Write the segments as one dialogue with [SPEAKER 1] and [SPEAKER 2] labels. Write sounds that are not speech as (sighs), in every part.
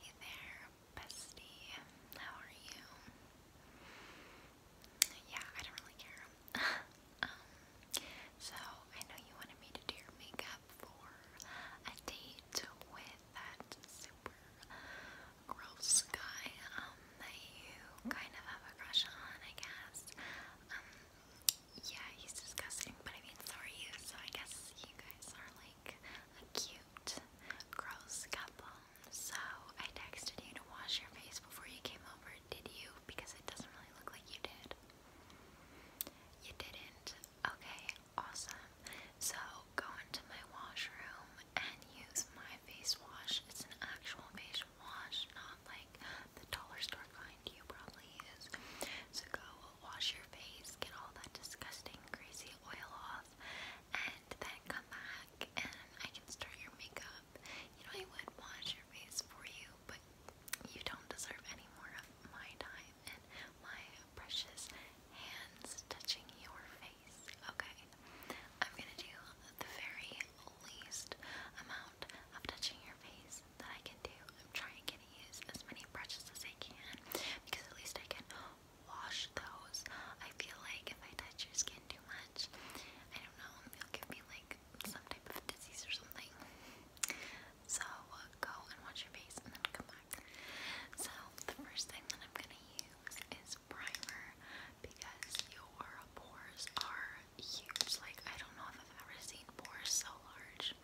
[SPEAKER 1] Hey there, bestie. How are you? Yeah, I don't really care. (laughs) um, so I know you wanted me to do your makeup for a date with that super gross guy um, that you kind of have a crush on, I guess. Um, yeah, he's disgusting, but I mean, so are you, so I guess you guys are like a cute, gross couple. So I texted you to wash your face before you came over, did you? Because it doesn't really look like you did. You didn't? Okay, awesome. So go into my washroom and use my face wash. It's an actual face wash, not like the dollar store kind you probably use. So go wash your face, get all that disgusting, greasy oil off, and then come back and I can start your makeup. You know, I would wash your face for you, but you don't deserve any more of my time and my precious hands touching your face. Okay, I'm gonna do the very least amount of touching your face that I can do. I'm trying to use as many brushes as I can because at least I can wash those. I feel like if I touch your skin too much, I don't know, it'll give me like some type of disease or something. So go and wash your face and come back. So the first thing that I'm gonna use is primer because your pores are huge. Like, I don't know if I've ever seen pores so large.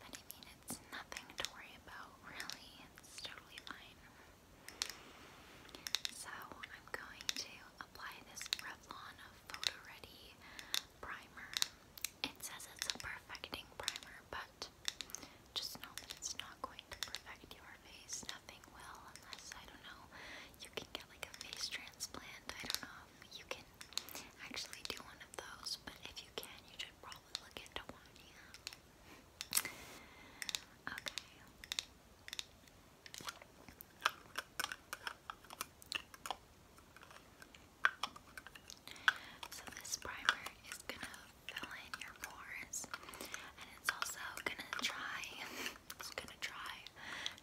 [SPEAKER 1] But I mean, it's nothing to worry about, really. It's totally fine. So, I'm going to apply this Revlon Photo Ready primer. It says it's a perfecting primer, but just know it's not going to perfect your face. Nothing will, unless I don't know. You can get like a face transplant. I don't know you can actually do one of those, but if you can, you should probably look into one, yeah. Okay. So this primer is gonna fill in your pores, and it's also gonna try, (laughs) it's gonna try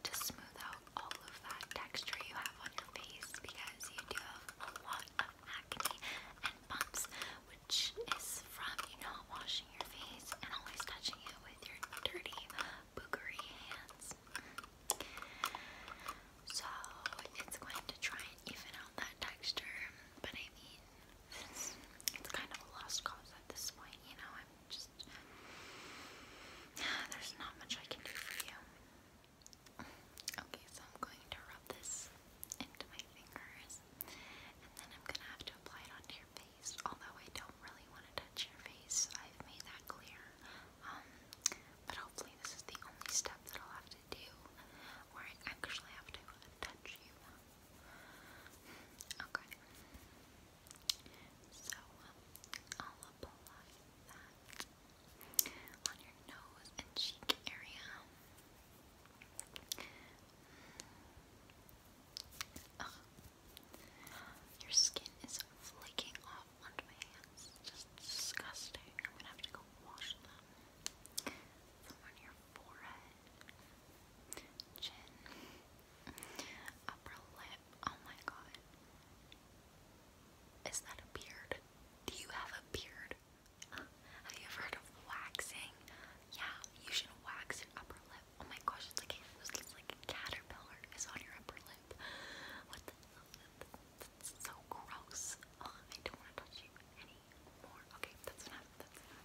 [SPEAKER 1] to smooth out off all of that texture you have on your face because you do have a lot of acne and bumps, which is from you not know, washing your face and always touching it with your dirty, boogery hands. So it's going to try and even out that texture, but I mean, it's, it's kind of a lost cause at this point, you know. I'm just (sighs) there's not much I can do for you. Okay, so I'm going to rub this into my fingers, and then I'm gonna have to apply it onto your face. Although I don't really want to touch your face, I've made that clear. Um, but hopefully this is the only step that I'll have to do where I actually have to touch you. Okay. So um, I'll apply that on your nose and cheek area. Your skin is flaking off onto my hands. It's Just disgusting. I'm gonna have to go wash them. From on your forehead, chin, Upper lip. Oh my god. Is that a beard? Do you have a beard? have you ever heard of waxing? Yeah, you should wax your upper lip. Oh my gosh, it's like a, it's like a caterpillar is on your upper lip. What That's so gross. Oh, I don't want to touch you anymore. Okay, That's enough.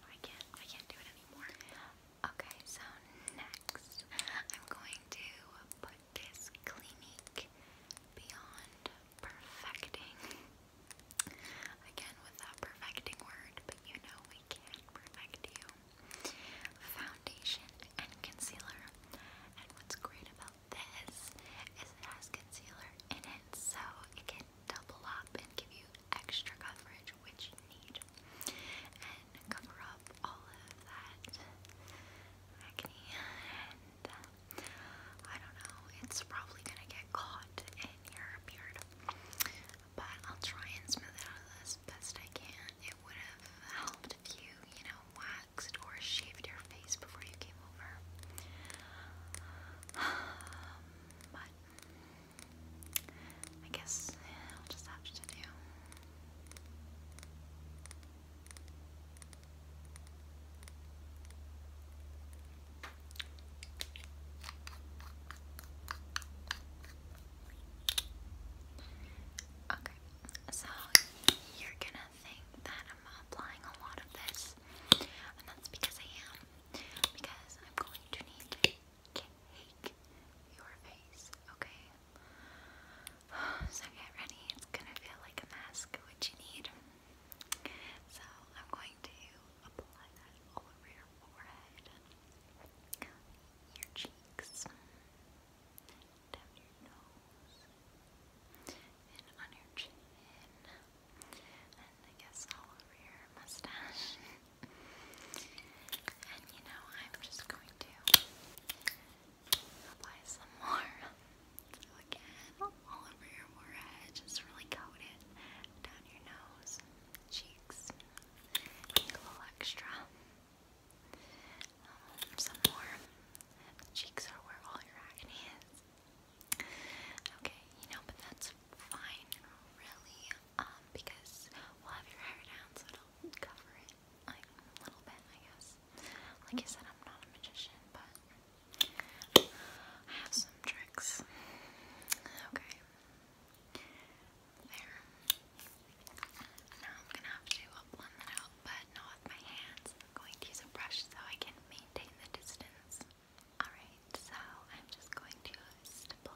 [SPEAKER 1] I can't. I can't do it anymore. Okay, so next I'm going to put this Clinique Beyond Perfecting. Again, with perfecting word, but you know we can perfect you. Foundation and concealer. And what's great about this is it has concealer in it, so it can double up and give you extra coverage, which you need and cover up all of that acne and um, I don't know, it's probably gonna get caught in your beard. But I'll try and smooth it out as best I can. It would have helped if you, you know, waxed or shaved your face before you came over. (sighs) but I guess I'll just have to do. Okay, so you're gonna think that I'm applying a lot of this, and that's because I am, because I'm going to need to cake your face, okay? (sighs) So get ready, it's gonna feel like a mask, which you need. So I'm going to apply that all over your forehead, your cheeks, down your nose, and on your chin, and I guess all over your mustache. (laughs) And you know, I'm just going to apply some more again all over your forehead, just really coat it down your nose, cheeks, a little extra. Um, some more. cheeks are where all your acne is. Okay, you know, but that's fine, really. Um, because we'll have your hair down, so it'll cover it like a little bit, I guess. Like I said, I'm not a magician, but I have some tricks. Okay. There. Now I'm gonna have to blend that out, but not with my hands. I'm going to use a brush so I can maintain the distance. Alright, so I'm just going to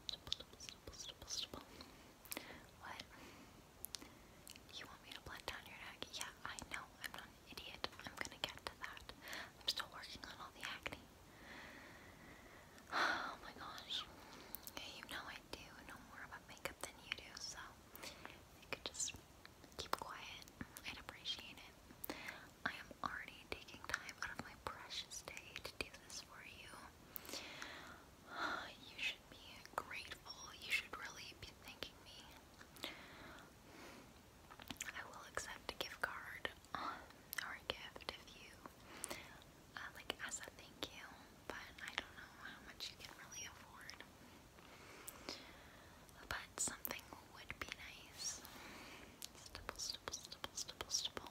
[SPEAKER 1] What? You want me to blend down your neck? Yeah, I know. I'm not an idiot. I'm gonna get to that. I'm still working on all the acne. (sighs) Oh my gosh. you know I do know more about makeup than you do, so you could just keep quiet. I'd appreciate it. I am already taking time out of my precious day to do this for you. (sighs) you should be grateful. You should really be thanking me. I will accept a gift card uh, or a gift if you uh, like as a thank you, but I don't know how much you can really afford. But something would be nice. Stipple, stipple, stipple, stipple, stipple.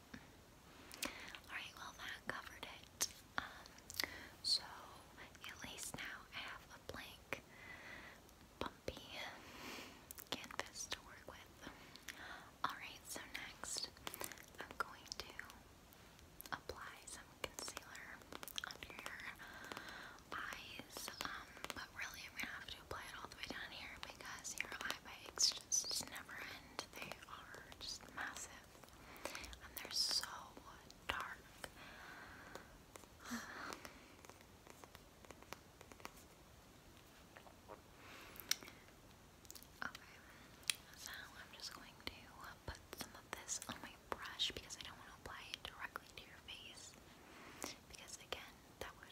[SPEAKER 1] Alright, well that covered it. Um, so at least now I have a blank, bumpy canvas to work with. Alright, so next I'm going to apply some concealer under your eyes. Um, but really I'm gonna have to apply it all the way down here because your eye bags just never end they are just massive and they're so dark. (sighs) Okay, so I'm just going to put some of this on my brush because I don't want to apply it directly to your face because again, that would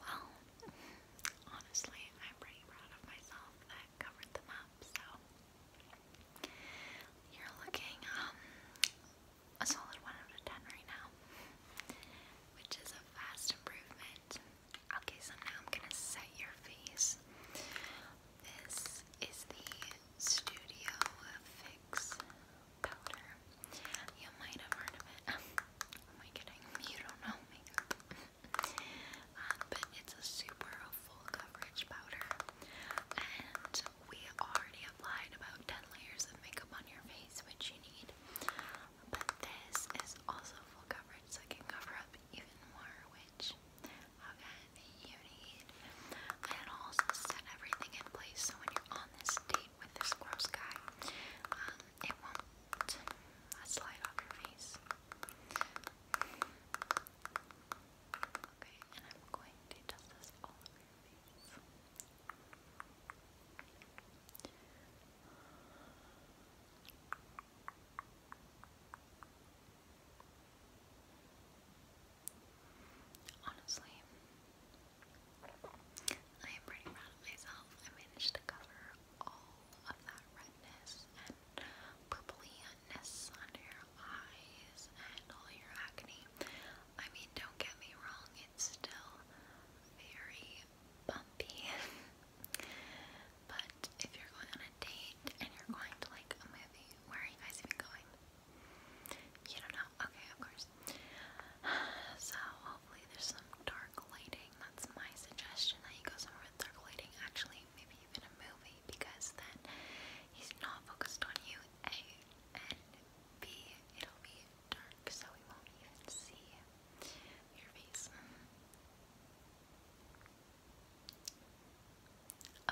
[SPEAKER 1] Well, honestly, I'm pretty proud of myself that covered them up, so you're looking um, a solid one out of ten right now. Which is a vast improvement. Okay, so now I'm gonna set your face. This is the Studio Fix powder. You might have heard of it. (laughs) Am I kidding? You don't know makeup. (laughs) Um, but it's a super full coverage powder. And we already applied about 10 layers of makeup on your face, which you need. But this is also full coverage, so it can cover up even more, which Okay, you need. I also set everything in place so when you're on this date with this gross guy, um, it won't uh, slide off your face. Okay, and I'm going to dust this all Honestly, I am pretty proud of myself. I managed to cover all of that redness and purpley under your eyes and all your acne. I mean, don't get me wrong, it's still very bumpy. (laughs) but if you're going on a date and you're going to like a movie where you guys even going? You don't know? Okay, of course. (sighs) So, hopefully, there's some dark lighting. That's my suggestion that you go somewhere with dark lighting. Actually, maybe even a movie because then he's not focused on you. A and B, it'll be dark, so he won't even see your face. Mm-hmm.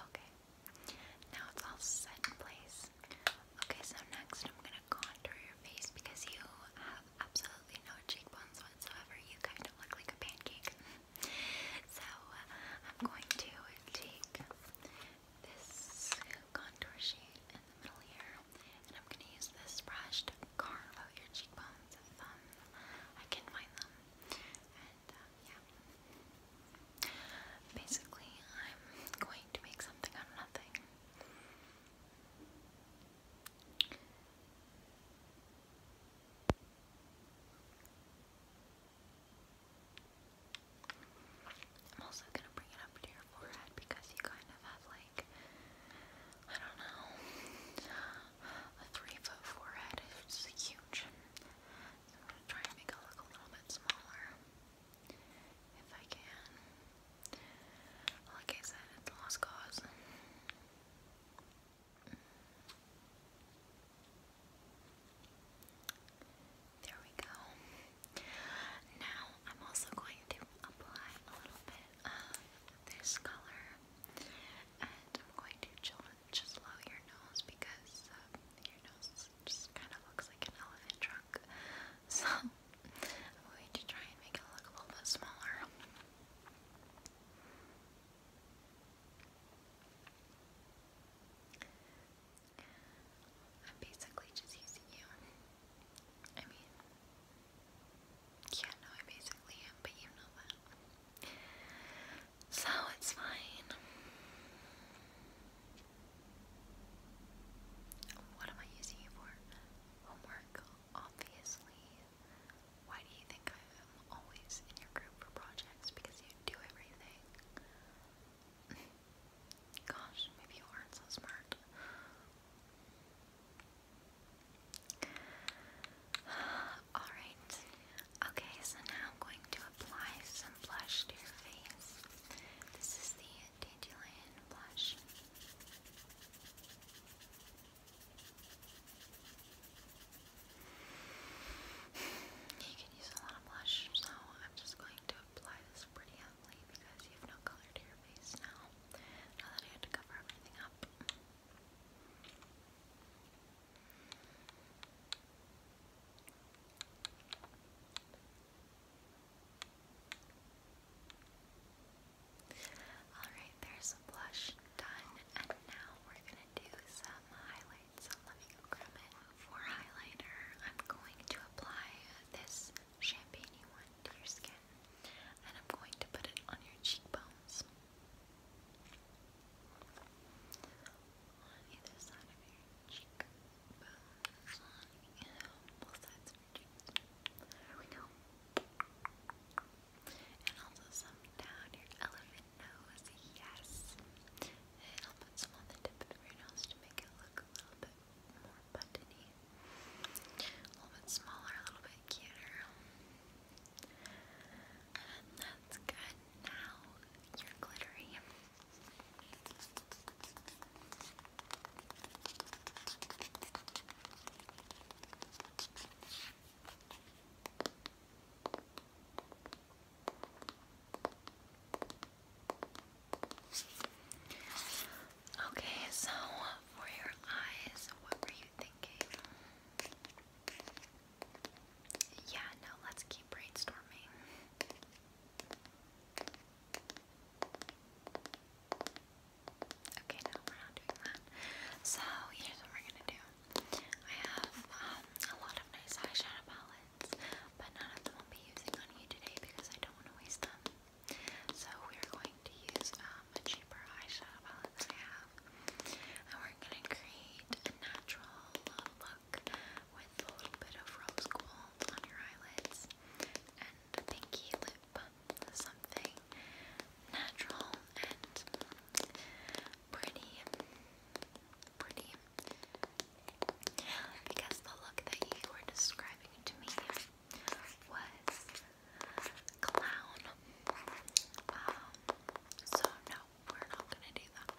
[SPEAKER 1] Okay. Now it's all set in place. Okay, so next I'm gonna contour your face because you have absolutely no cheekbones whatsoever. You kind of look like a pancake. (laughs) so uh, I'm going to take this contour shade in the middle here, and I'm gonna use this brush to carve out your cheekbones if I can find them and Basically, I'm going to make something out of nothing. I'm also gonna bring it up to your forehead because you kind of have like, I don't know, a three foot forehead. It's huge. I'm going to try and make it look a little bit smaller if I can. Like I said, it's lost cause. There we go. Now I'm also going to apply a little bit of this color and I'm going to children just love your nose because uh, your nose just kind of looks like an elephant trunk. (laughs) So I'm going to try and make it look a little bit smaller. I'm basically just using you. I mean, yeah, no, I basically am, but you know that. So it's fine. What am I using you for? Homework, obviously. Why do you think I'm always in your group for projects? Because you do everything. (laughs) Gosh, maybe you aren't so smart. Alright. Okay, so now I'm going to apply some blush to your face. This is the Dandelion blush. You can use a lot of blush, so I'm just going to apply this pretty heavily because you have no color to your face now. Now that I had to cover everything up. Alright, there's a blush done, and now we're gonna do some highlights. So let me grab it. For highlighter, I'm going to apply this champagne one to your skin, and I'm going to put it on your cheekbones on you And also some down your elephant nose, yes. And I'll put some on the tip of your nose to make it look a little bit more buttony. A little bit smaller, a little bit cuter. That's good. Now you're glittery. Okay, so for your eyes, what were you thinking? Yeah, no, let's keep brainstorming. Okay, no, we're not doing that. So, here's what we're gonna do. I have um, a lot of nice eyeshadow palettes, but none of them I'll be using on you today because I don't want to waste them. So, we're going to use uh, um, a cheaper eyeshadow palette that have. And we're going to create a natural um, look with a little bit of rose gold on your eyelids and a pinky lip. Something natural and pretty. Pretty. Because the look that you were describing to me was clown. Um, so no, we're not gonna do that.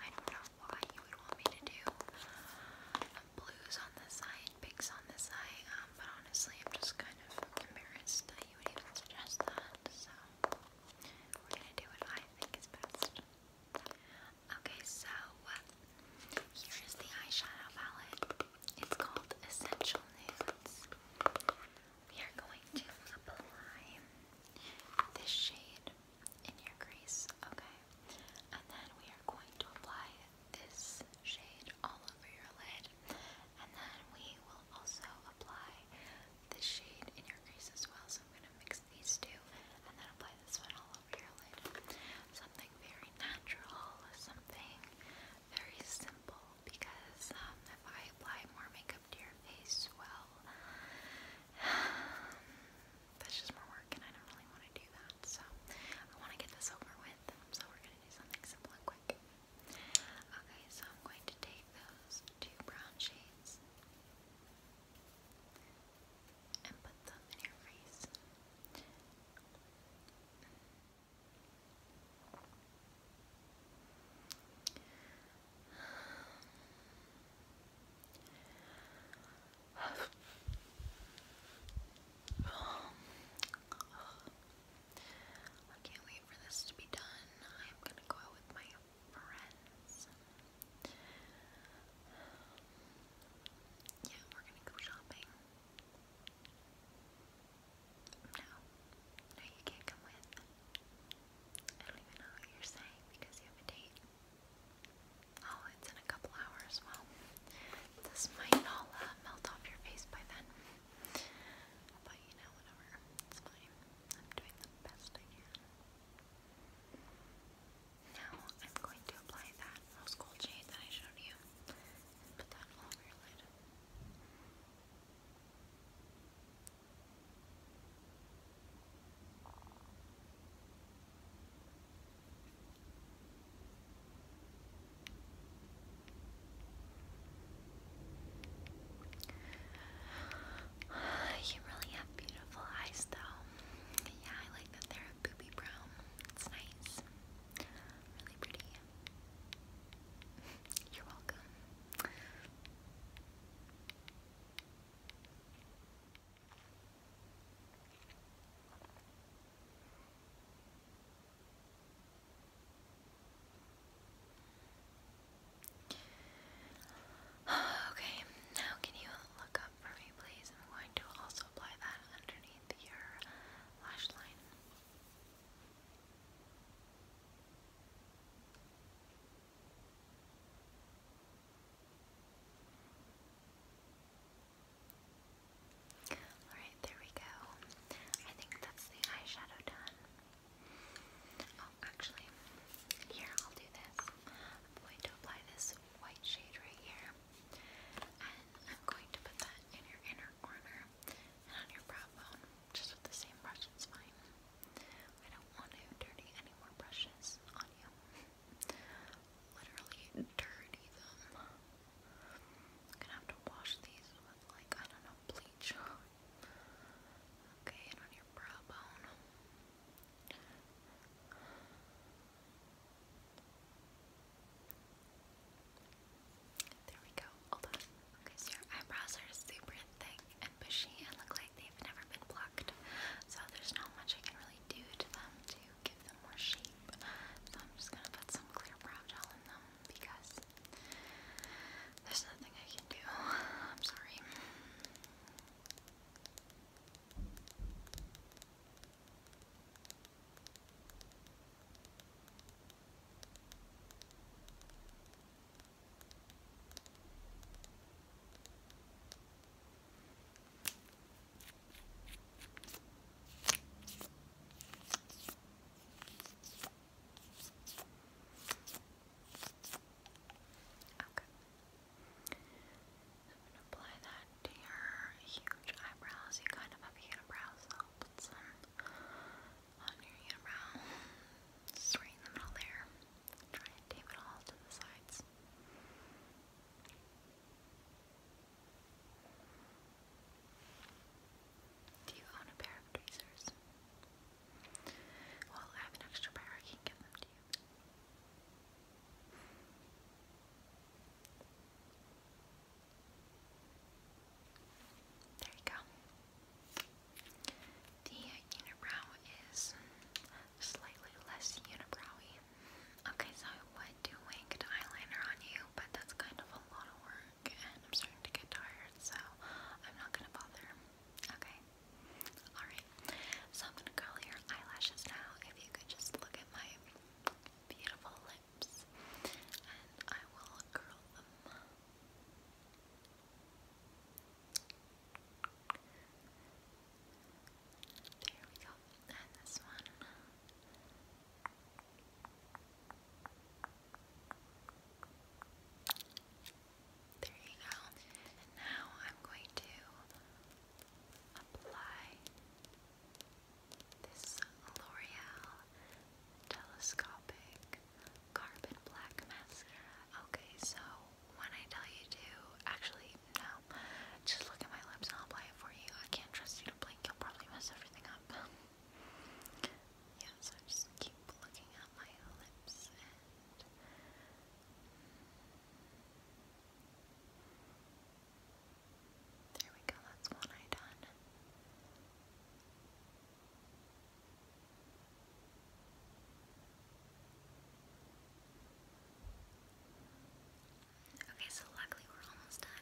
[SPEAKER 1] I don't know why you would want me to do um, blues on this side, pinks on this side, um, but honestly I'm just kind of embarrassed that you would even suggest that, so we're gonna do what I think is best. Okay, so here is the eyeshadow palette. It's called Essential Nudes we are going to apply this shade in your crease, okay? And then we are going to apply this shade all over your lid. And then we will also apply this shade in your crease as well. So I'm going to mix these two and then apply this one all over your lid. Something very natural, something very simple because um, if I apply more makeup to your face, well, (sighs) that's just more work and I don't really want to do that. So I want to get this over with, so we're going to do something simple and quick. Okay, so I'm going to take those two brown shades and put them in your face. I can't wait for this to be done. I'm gonna go out with my friends. Yeah, we're gonna go shopping. No. No, you can't come with. I don't even know what you're saying because you have a date. Oh, it's in a couple hours. Well, this might all uh, melt off your face by then. But you know, whatever. It's fine. I'm doing the best I can. Now I'm going to apply that rose gold shade that I showed you and put that all over your lid. (sighs) You really have beautiful eyes, though. Yeah, I like that they're a booby brown. It's nice. Really pretty. You're welcome. (sighs) Okay, now can you look up for me, please? I'm going to also apply that underneath your lash line. Alright, there we go. I think that's the eyeshadow done. Oh, actually, here, I'll do this. I'm going to apply this white shade right here, and I'm going to put that in your inner corner and on your brow bone. Just with the same brush, it's fine. I don't want to dirty any more brushes on you. Literally dirty them. gonna have to wash these with, like, I don't know, bleach. Okay, and on your brow bone. There we go. Hold Okay, so your eyebrows are super thick and bushy and look like they've never been plucked. So there's not much I can really do to them to give them more shape. So I'm just gonna put some clear brow gel in them because there's nothing I can do. I'm sorry. Okay. I'm gonna apply that to your huge eyebrows. You kind of have unibrows, so I'll put some on your unibrow. Just in the middle there. Try and tape it all to the sides. Do you own a pair of tweezers? Well, I have an extra pair. I can give them to you. There you go. The unibrow is slightly less unibrowy. Okay, so I would do winged eyeliner on you, but that's kind of a lot of work, and I'm starting to get tired, so I'm not gonna bother. Okay? Alright. So I'm gonna curl your eyelashes now. If you could just look at my beautiful clips and I will curl them. There we go. And this one. There you go. And now I'm going to apply this L'Oreal Telescopic Carbon Black Mascara. Okay, so when I tell you to, actually, no, just look at my lips and I'll apply it for you. I can't trust you to blink, you'll probably mess everything up. (laughs) yeah, so just keep looking at my lips there we go, that's one eye done. Okay, so luckily we're almost done.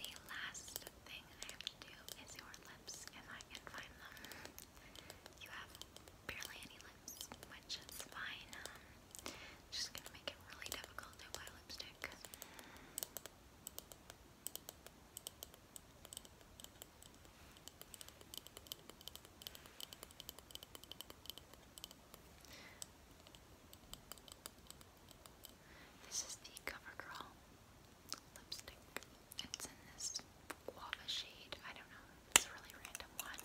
[SPEAKER 1] The last thing I have to do is your lips, if I can find them. You have barely any lips, which is fine. just gonna make it really difficult to apply lipstick. This is the CoverGirl lipstick. It's in this guava shade. I don't know. It's a really random one.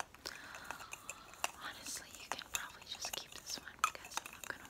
[SPEAKER 1] Honestly, you can probably just keep this one because I'm not going to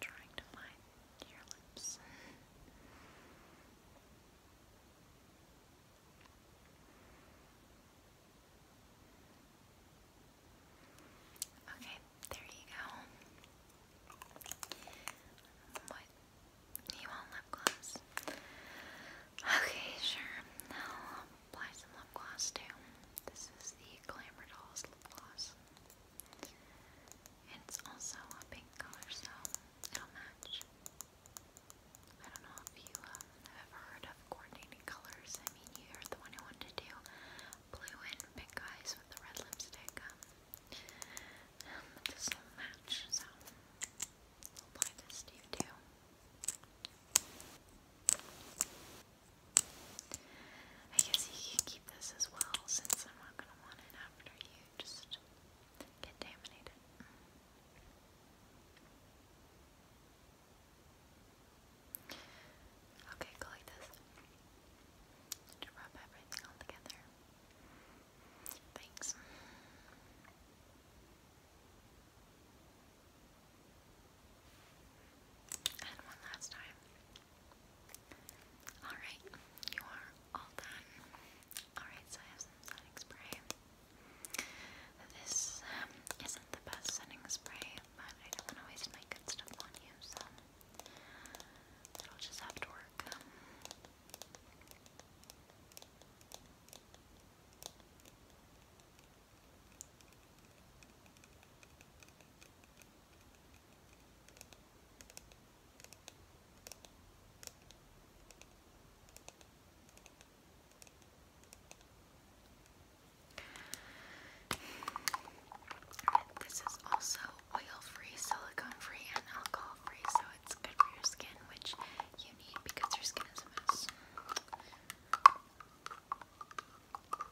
[SPEAKER 1] trying to find your lips. okay, there you go. What? You want lip gloss? Okay, sure. Now apply some lip gloss too. This is the Glamour Dolls lip gloss. It's also a pink color, so it'll match. I don't know if you uh, have ever heard of coordinating colors. I mean, you're the one who wanted to do blue and pink eyes with the red lipstick. Um, this will match, so I'll apply this to you too. I guess you can keep this as well since I'm not going to want it after you just contaminate it. Okay, go like this. To rub everything all together. Thanks. And one last time. Alright, you are all done. Alright, so I have some setting spray. This um, isn't the best setting spray, but I don't want to waste my good stuff on you, so it'll just have to work. Um. This is also oil-free, silicone-free, and alcohol-free, so it's good for your skin, which you need because your skin is a mess.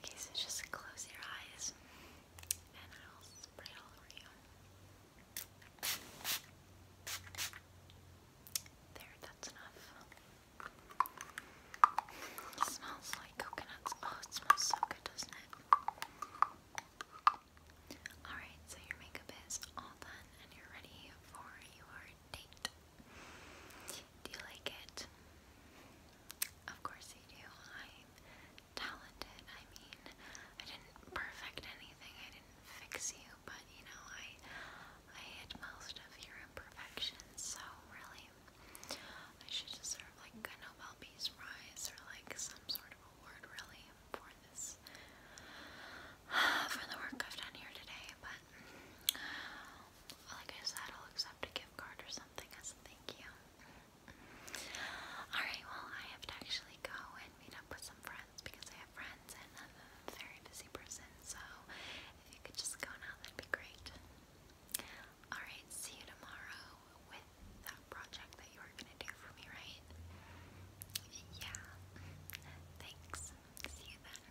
[SPEAKER 1] Okay, so just close your eyes and I'll spray all over you. There, that's enough. It smells like coconuts. Oh, it smells so good, doesn't it? Alright, so your makeup is all done and you're ready for your date. Do you like it? Of course you do. I'm talented. I mean, I didn't perfect anything. I didn't fix you, but you know, I I hid most of your imperfections. So really, I should deserve like a Nobel Peace Prize or like some sort of award, really, for this (sighs) for the work I've done here today. But like I said, I'll accept a gift card or something as a thank you. Alright, well, I have to actually go and meet up with some friends because I have friends and I'm a very busy person, so if you could just go now, that'd be great. Alright, see you tomorrow with that project that you were gonna do for me, right? Yeah. Thanks. See you then.